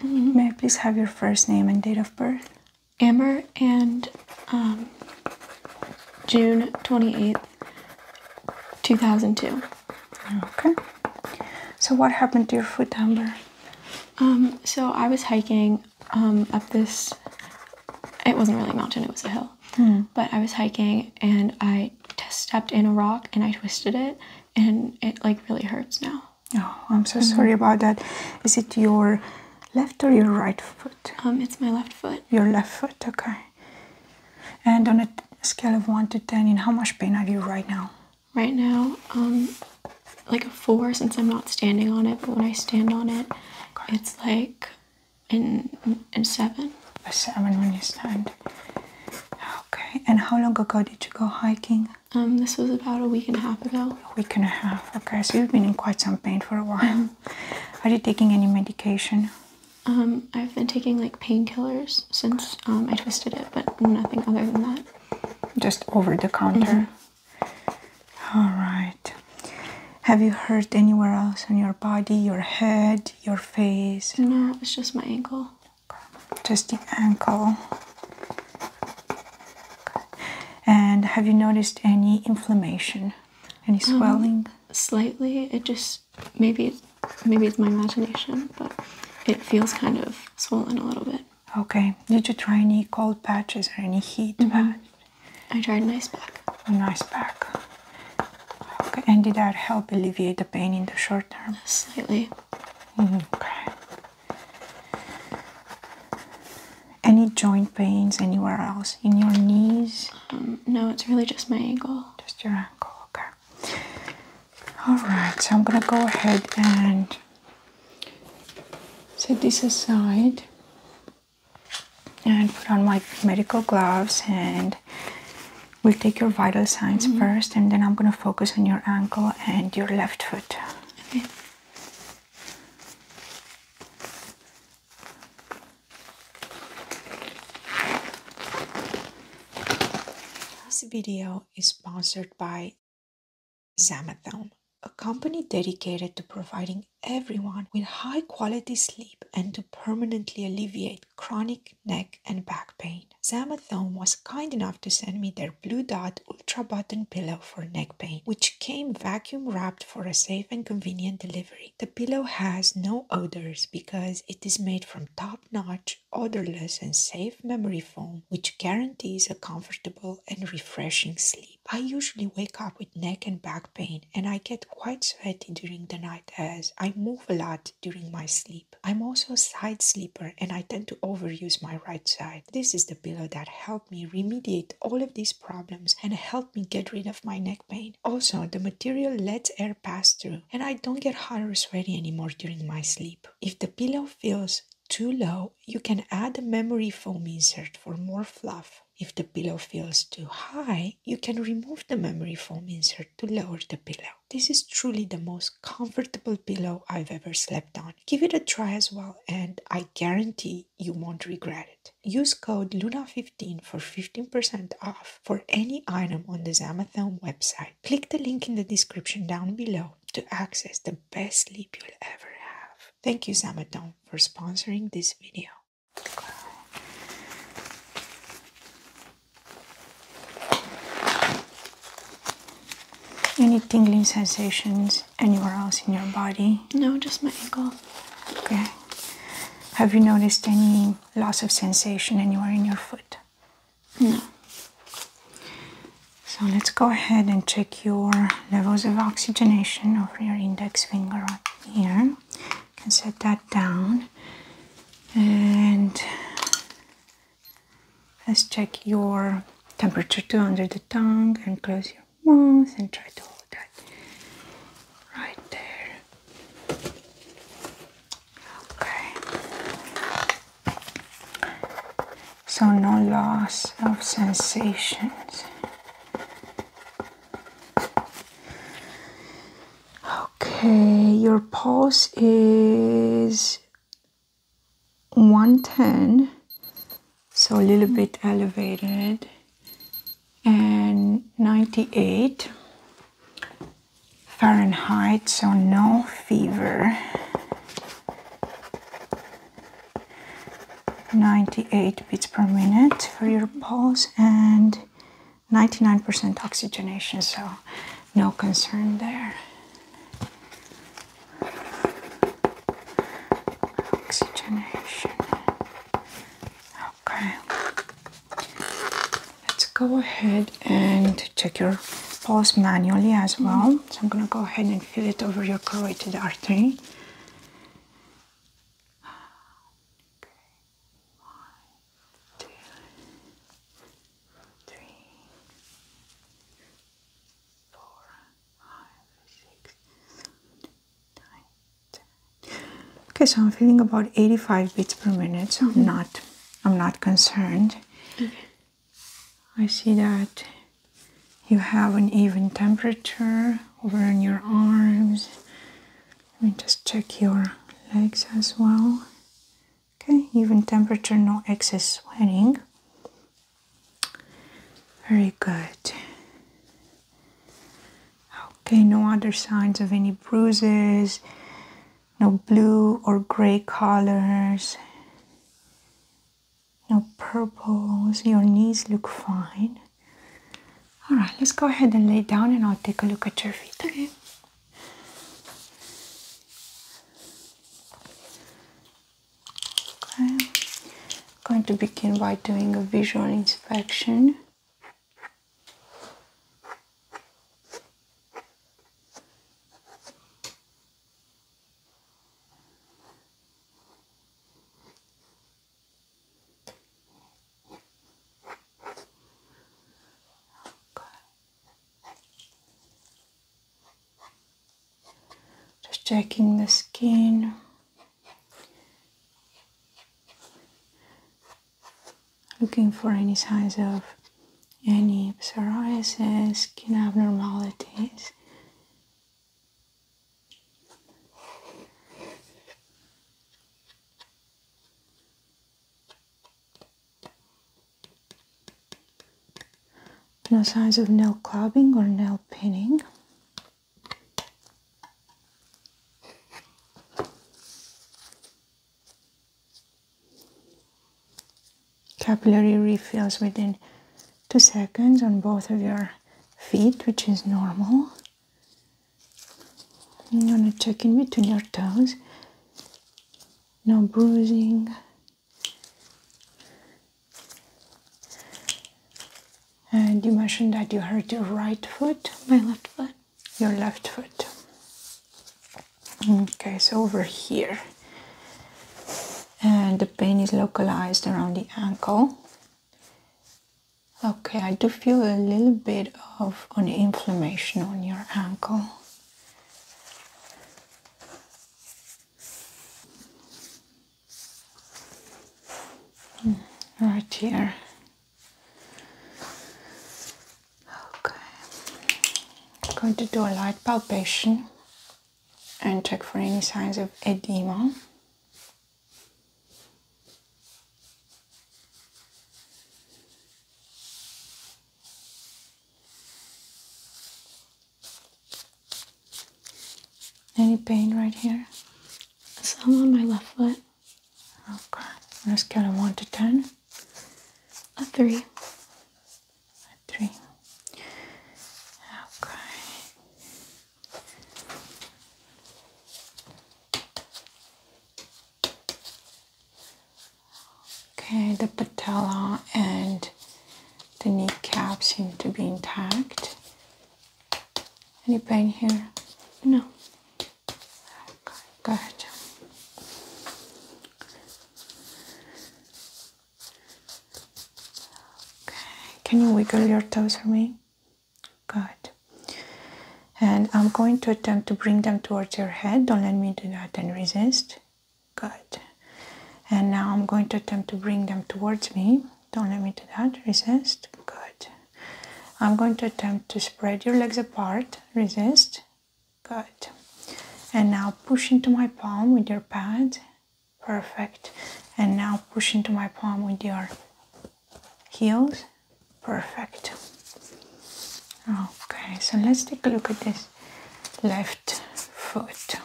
Mm-hmm. May I please have your first name and date of birth? Amber and um, June 28th, 2002. Okay. So, what happened to your foot, Amber? Um, so, I was hiking um, up this, it wasn't really a mountain, it was a hill. Hmm. But I was hiking and I stepped in a rock and I twisted it, and it like really hurts now. Oh, I'm so mm-hmm. sorry about that. Is it your left or your right foot? Um, it's my left foot. Your left foot, okay. And on a scale of one to ten, in how much pain are you right now? Right now, um, like a four, since I'm not standing on it. But when I stand on it, it's like in in seven. A seven when you stand. Okay. And how long ago did you go hiking? Um, this was about a week and a half ago. A week and a half. Okay, so you've been in quite some pain for a while. Mm-hmm. Are you taking any medication? Um, I've been taking like painkillers since um, I twisted it, but nothing other than that. Just over the counter. Mm-hmm. All right. Have you hurt anywhere else on your body, your head, your face? No, it's just my ankle. Just the ankle. And have you noticed any inflammation, any um, swelling? slightly. It just maybe maybe it's my imagination, but it feels kind of swollen a little bit. Okay. Did you try any cold patches or any heat mm-hmm. patch? I tried an ice pack. An ice pack. Okay. And did that help alleviate the pain in the short term? Slightly. Mm-hmm. Okay. Any joint pains anywhere else? In your knees? Um, no, it's really just my ankle. Just your ankle, okay. Alright, so I'm gonna go ahead and set this aside and put on my medical gloves and we'll take your vital signs mm-hmm. first and then I'm gonna focus on your ankle and your left foot. This video is sponsored by Zamethelm, a company dedicated to providing everyone with high quality sleep and to permanently alleviate chronic neck and back pain. Zamathon was kind enough to send me their Blue Dot Ultra Button Pillow for neck pain, which came vacuum wrapped for a safe and convenient delivery. The pillow has no odors because it is made from top notch, odorless, and safe memory foam, which guarantees a comfortable and refreshing sleep. I usually wake up with neck and back pain, and I get quite sweaty during the night as I move a lot during my sleep. I'm also a side sleeper and I tend to overuse my right side this is the pillow that helped me remediate all of these problems and helped me get rid of my neck pain. Also, the material lets air pass through and I don't get hot or sweaty anymore during my sleep. If the pillow feels too low, you can add a memory foam insert for more fluff. If the pillow feels too high, you can remove the memory foam insert to lower the pillow. This is truly the most comfortable pillow I've ever slept on give it a try as well, and I guarantee you won't regret it. Use code LUNA15 for 15% off for any item on the Zamathome website. Click the link in the description down below to access the best sleep you'll ever have. Thank you, Zamathome, for sponsoring this video. Any tingling sensations anywhere else in your body? No, just my ankle. Okay. Have you noticed any loss of sensation anywhere in your foot? No. So let's go ahead and check your levels of oxygenation of your index finger right here. You can set that down and Let's check your temperature too under the tongue and close your mouth and try to hold that right there. Okay. So no loss of sensations. Okay, your pulse is 110 so a little bit elevated and 98 Fahrenheit so no fever 98 beats per minute for your pulse and 99% oxygenation so no concern there Oxygenation. Okay. Let's go ahead and check your pulse manually as well. So I'm going to go ahead and feel it over your carotid artery. One, two, three, Okay, so I'm feeling about 85 beats per minute, so I'm mm-hmm. not I'm not concerned. I see that you have an even temperature over in your arms. Let me just check your legs as well. Okay, even temperature, no excess sweating. Very good. Okay, no other signs of any bruises, no blue or gray colors, no purples. Your knees look fine. All right, let's go ahead and lay down and I'll take a look at your feet. Okay. I'm going to begin by doing a visual inspection. Just checking the skin. Looking for any signs of any psoriasis, skin abnormalities. No signs of nail clubbing or nail pinning. Capillary refills within two seconds on both of your feet, which is normal. I'm gonna check in between your toes. No bruising, and you mentioned that you hurt your right foot. My left foot. Your left foot. Okay, so over here. And the pain is localized around the ankle. Okay, I do feel a little bit of an inflammation on your ankle right here. Okay, I'm going to do a light palpation and check for any signs of edema. Any pain right here? So I'm on my left foot. Okay. On a scale of 1 to 10. A 3. A 3. Okay. Okay, the patella and the kneecap seems to be intact. Any pain here? No. Good. Okay. Can you wiggle your toes for me? Good. And I'm going to attempt to bring them towards your head. Don't let me do that and resist. Good. And now I'm going to attempt to bring them towards me. Don't let me do that. Resist. Good. I'm going to attempt to spread your legs apart. Resist. Good. And now push into my palm with your pad. Perfect. And now push into my palm with your heels. Perfect. Okay, so let's take a look at this left foot.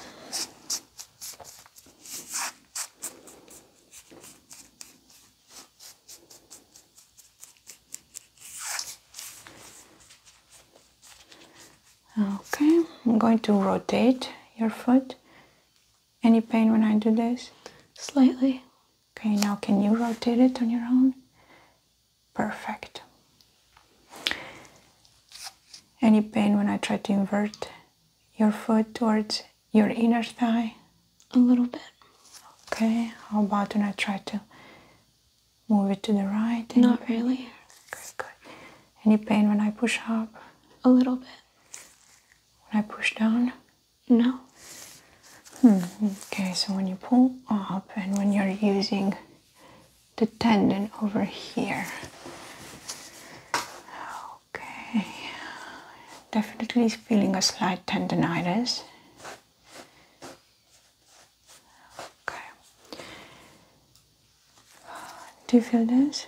Okay, I'm going to rotate your foot. Any pain when I do this? Slightly. Okay, now can you rotate it on your own? Perfect. Any pain when I try to invert your foot towards your inner thigh? A little bit. Okay, how about when I try to move it to the right? Any Not pain? really. Good, good. Any pain when I push up? A little bit. When I push down? No. Hmm, okay, so when you pull up and when you're using the tendon over here. Okay, definitely feeling a slight tendonitis. Okay, do you feel this?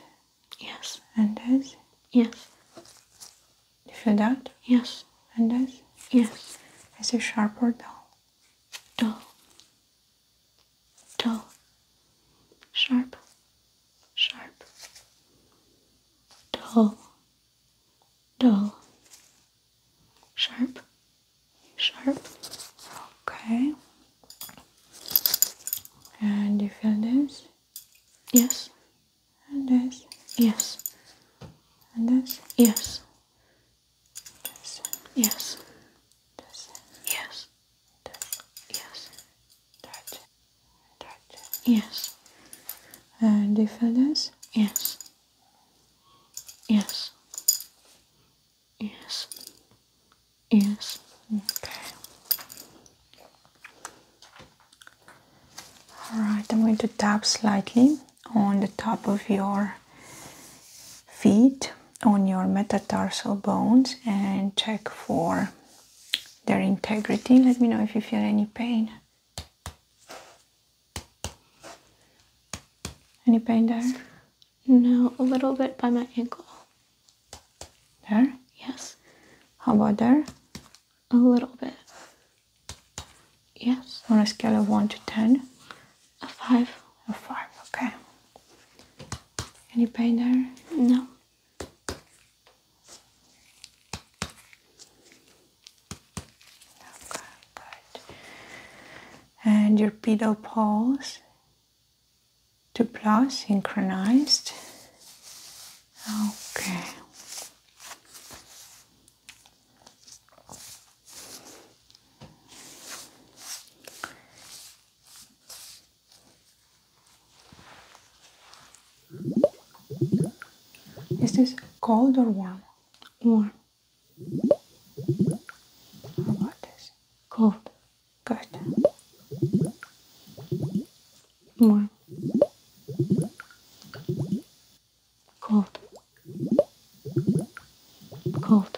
Yes, and this? Yes, do you feel that? Yes, and this? Yes, is it sharper or dull? Dull dull, sharp, sharp, dull, dull, sharp, sharp. Okay. And you feel this? Yes. And this? Yes. And this? Yes. This? Yes. This? Yes. Yes. Touch. Touch. Yes. Uh, difference? Yes. Yes. Yes. Yes. Okay. Alright, I'm going to tap slightly on the top of your feet on your metatarsal bones and check for their integrity. Let me know if you feel any pain. Any pain there? No, a little bit by my ankle. There? Yes. How about there? A little bit. Yes. On a scale of 1 to 10? A five. A five, okay. Any pain there? No. Okay, good. And your pedal pulse to plus synchronized. Okay. Is this cold or warm? Warm. How about this? Cold. Good. Warm. Cold. Cold.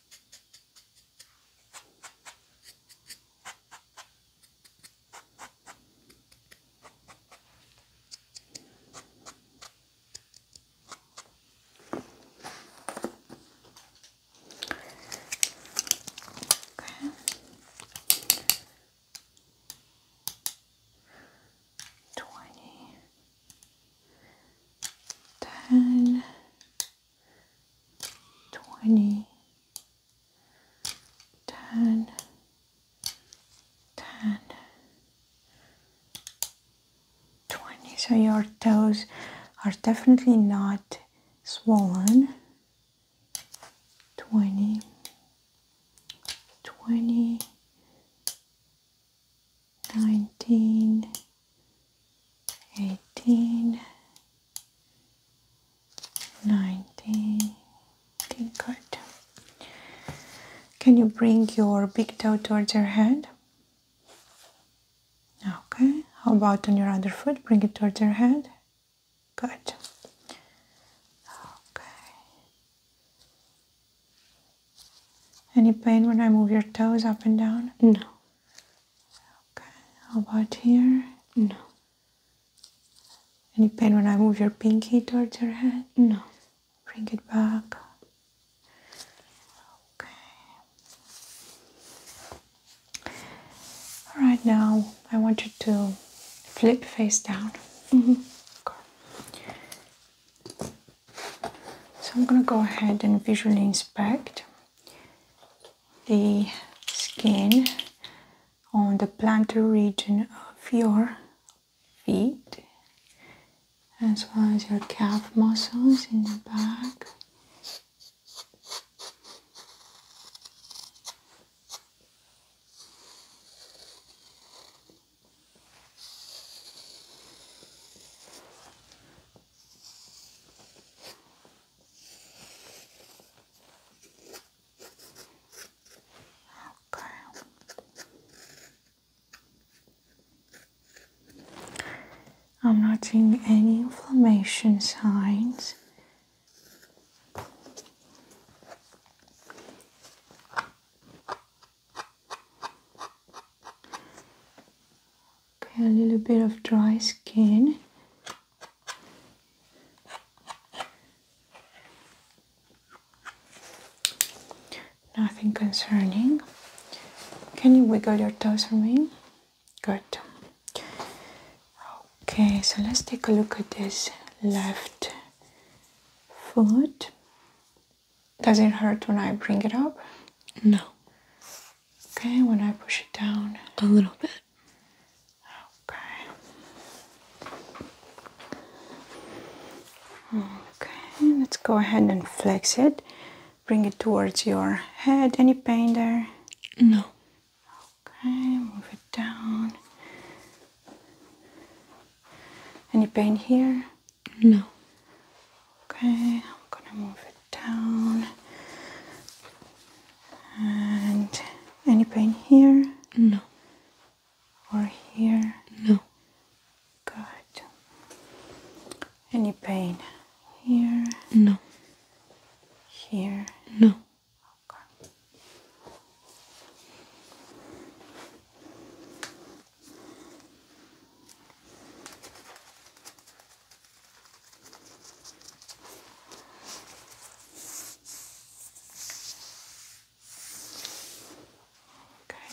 Okay. Twenty ten, twenty, ten, ten, twenty. So your toes are definitely not swollen. Twenty, twenty, nineteen, eighteen, nineteen. Okay, good. Can you bring your big toe towards your head? Okay, how about on your other foot? Bring it towards your head. Good. Okay. Any pain when I move your toes up and down? No. Okay. How about here? No. Any pain when I move your pinky towards your head? No. Bring it back. Okay. All right, now I want you to flip face down. Mm so I'm going to go ahead and visually inspect the skin on the plantar region of your feet as well as your calf muscles in the back. Okay. I'm not seeing any inflammation signs. Okay, a little bit of dry skin. Nothing concerning. Can you wiggle your toes for me? Good. Okay, so let's take a look at this left foot. Does it hurt when I bring it up? No. Okay, when I push it down? A little bit. Okay. Okay, let's go ahead and flex it. Bring it towards your head. Any pain there? No. Okay, move it down. Any pain here? No. Okay, I'm gonna move it down. And any pain here? No. Or here? No. Good. Any pain here? No. Here? No. Okay,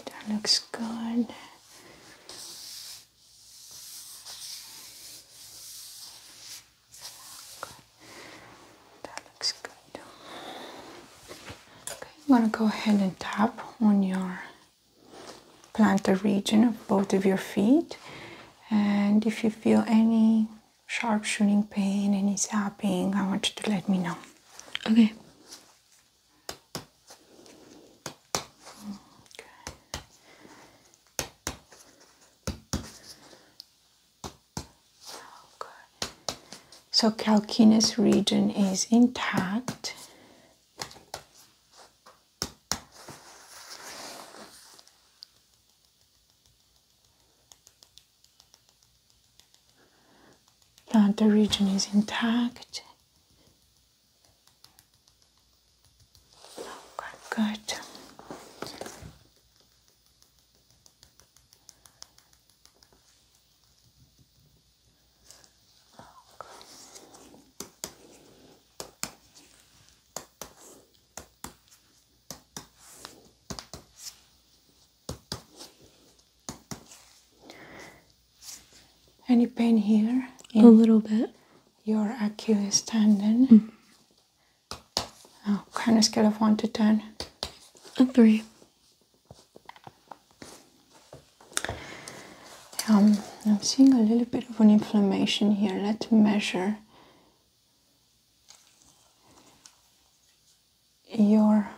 that looks good. Okay. That looks good. Okay, I'm gonna go ahead and tap on your plantar region of both of your feet. And if you feel any sharp shooting pain, any zapping, I want you to let me know. Okay. So calcaneus region is intact. Plantar region is intact. Okay, good. Any pain here? a little bit. Your Achilles tendon. Mm. Oh, kind of scale of 1 to 10. A 3. Um, I'm seeing a little bit of an inflammation here. Let's measure your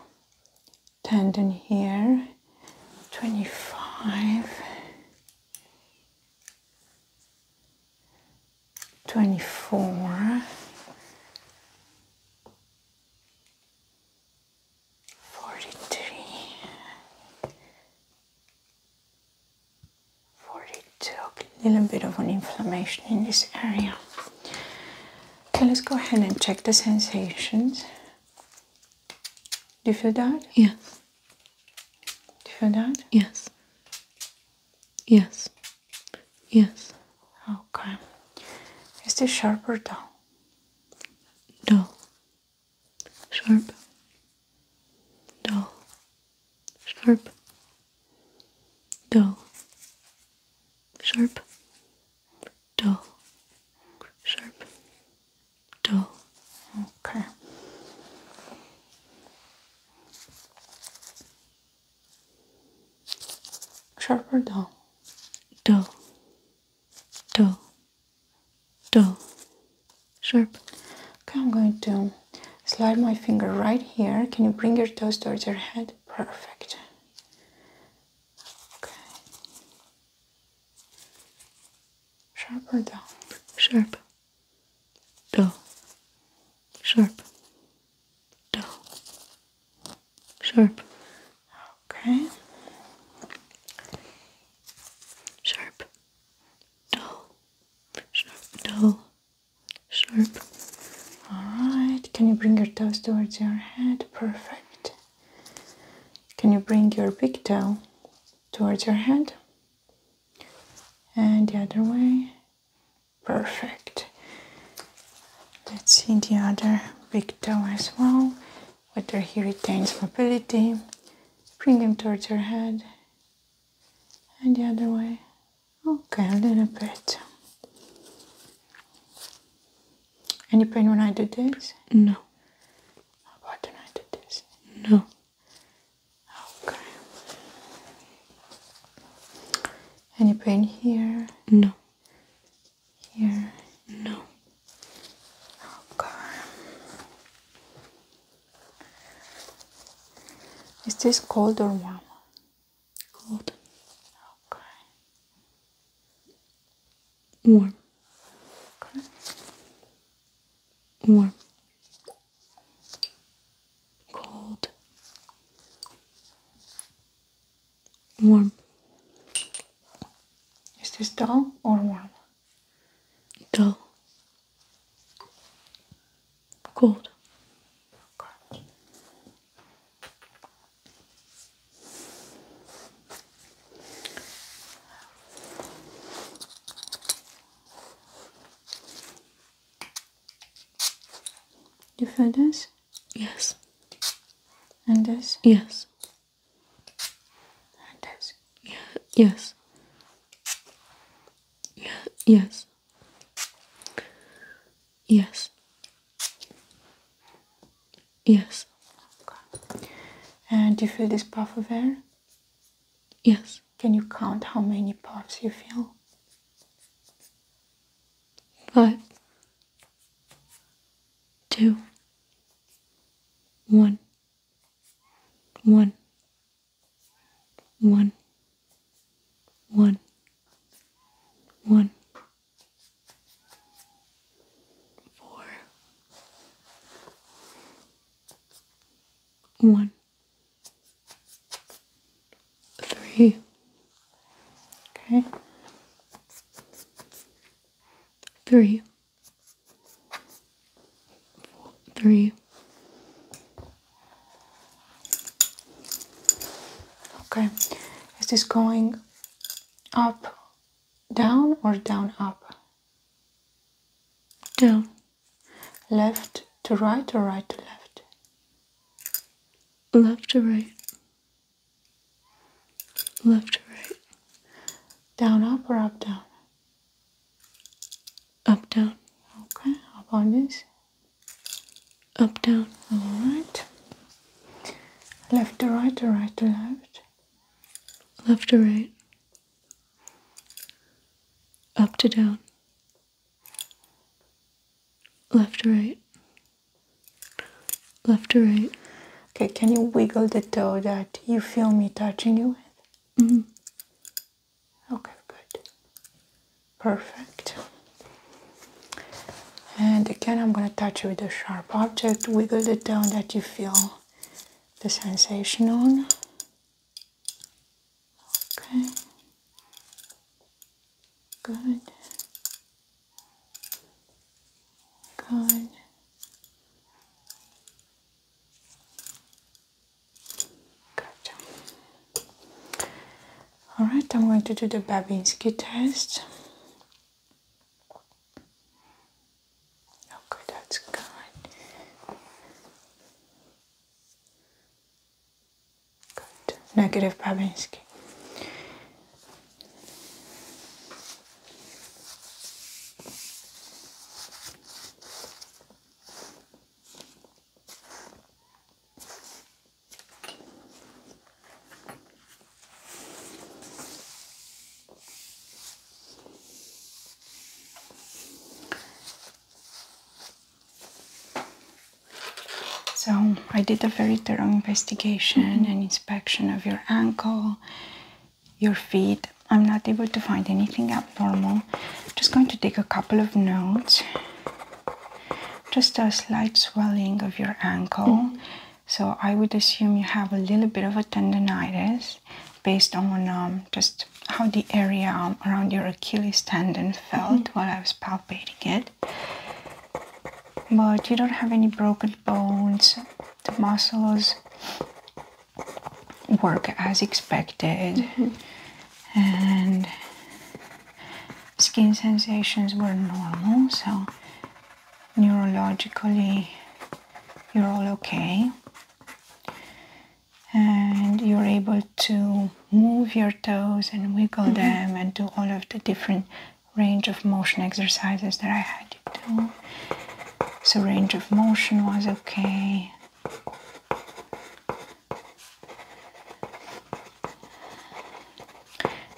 tendon here 25, 24 forty three, forty two. a little bit of an inflammation in this area. Okay, let's go ahead and check the sensations. Do you feel that? Yes. Do you feel that? Yes. Yes. Yes. Okay. Is this sharper? or No sharp, dull, sharp, dull, sharp, dull, sharp, dull. Okay. Sharp dull? Dull, dull, dull, sharp. Okay, I'm going to slide my finger right here. Can you bring your toes towards your head? Perfect. Okay. Sharp dull? Sharp. Dull. Sharp. Dull. Sharp. Okay. Sharp dull, sharp, dull, sharp. Alright, can you bring your toes towards your head? Perfect. Can you bring your big toe towards your head? And the other way. Perfect. Let's see the other big toe as well. Whether he retains mobility. Bring him towards your head. And the other way. Okay, a little bit. Any pain when I do this? No. How about when I do this? No. Okay. Any pain here? No. Here? No. Okay. Is this cold or warm? Cold. Okay. Warm. Okay. Warm. Cold. Warm. Is this dull or warm? dull, cold. cold. You feel this? Yes. And this? Yes. Yes. yes. yes. Yes. Yes. And do you feel this puff of air? Yes. Can you count how many puffs you feel? Five. Two. One one, one, one, one, four, one, three, okay, three three. Okay, is this going up, down, or down, up? Down. Left to right or right to left? Left to right. Left to right. Down, up, or up, down? up down okay Up on this up down all right left to right to right to left left to right up to down left to right left to right okay can you wiggle the toe that you feel me touching you with Mm-hmm. Okay, good. Perfect. And again, I'm going to touch with a sharp object. Wiggle it down that you feel the sensation on. Okay. Good. Good. Gotcha. Alright, I'm going to do the Babinski test. Okay, that's good. Good. Negative Babinski. So, I did a very thorough investigation and inspection of your ankle your feet. I'm not able to find anything abnormal. Just going to take a couple of notes. Just a slight swelling of your ankle. So I would assume you have a little bit of a tendonitis based on um, just how the area um, around your Achilles tendon felt mm while I was palpating it. But you don't have any broken bones. The muscles work as expected and skin sensations were normal so neurologically you're all okay and you're able to move your toes and wiggle mm-hmm. them and do all of the different range of motion exercises that I had so range of motion was okay.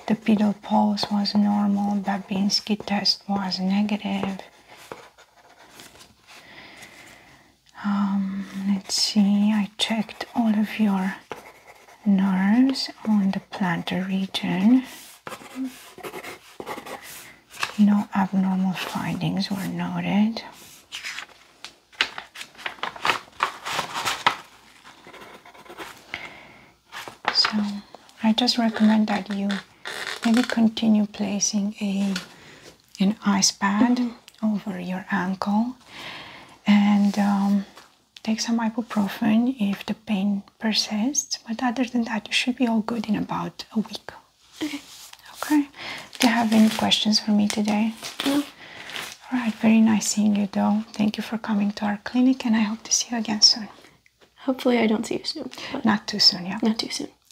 The pedal pulse was normal, Babinski test was negative. Um, let's see, I checked all of your nerves on the plantar region. No abnormal findings were noted. So I just recommend that you maybe continue placing a an ice pad mm-hmm. over your ankle and um, take some ibuprofen if the pain persists. But other than that, you should be all good in about a week. Okay. Okay. Do you have any questions for me today? No. All right. Very nice seeing you, though. Thank you for coming to our clinic, and I hope to see you again soon. Hopefully, I don't see you soon. Not too soon, yeah. Not too soon.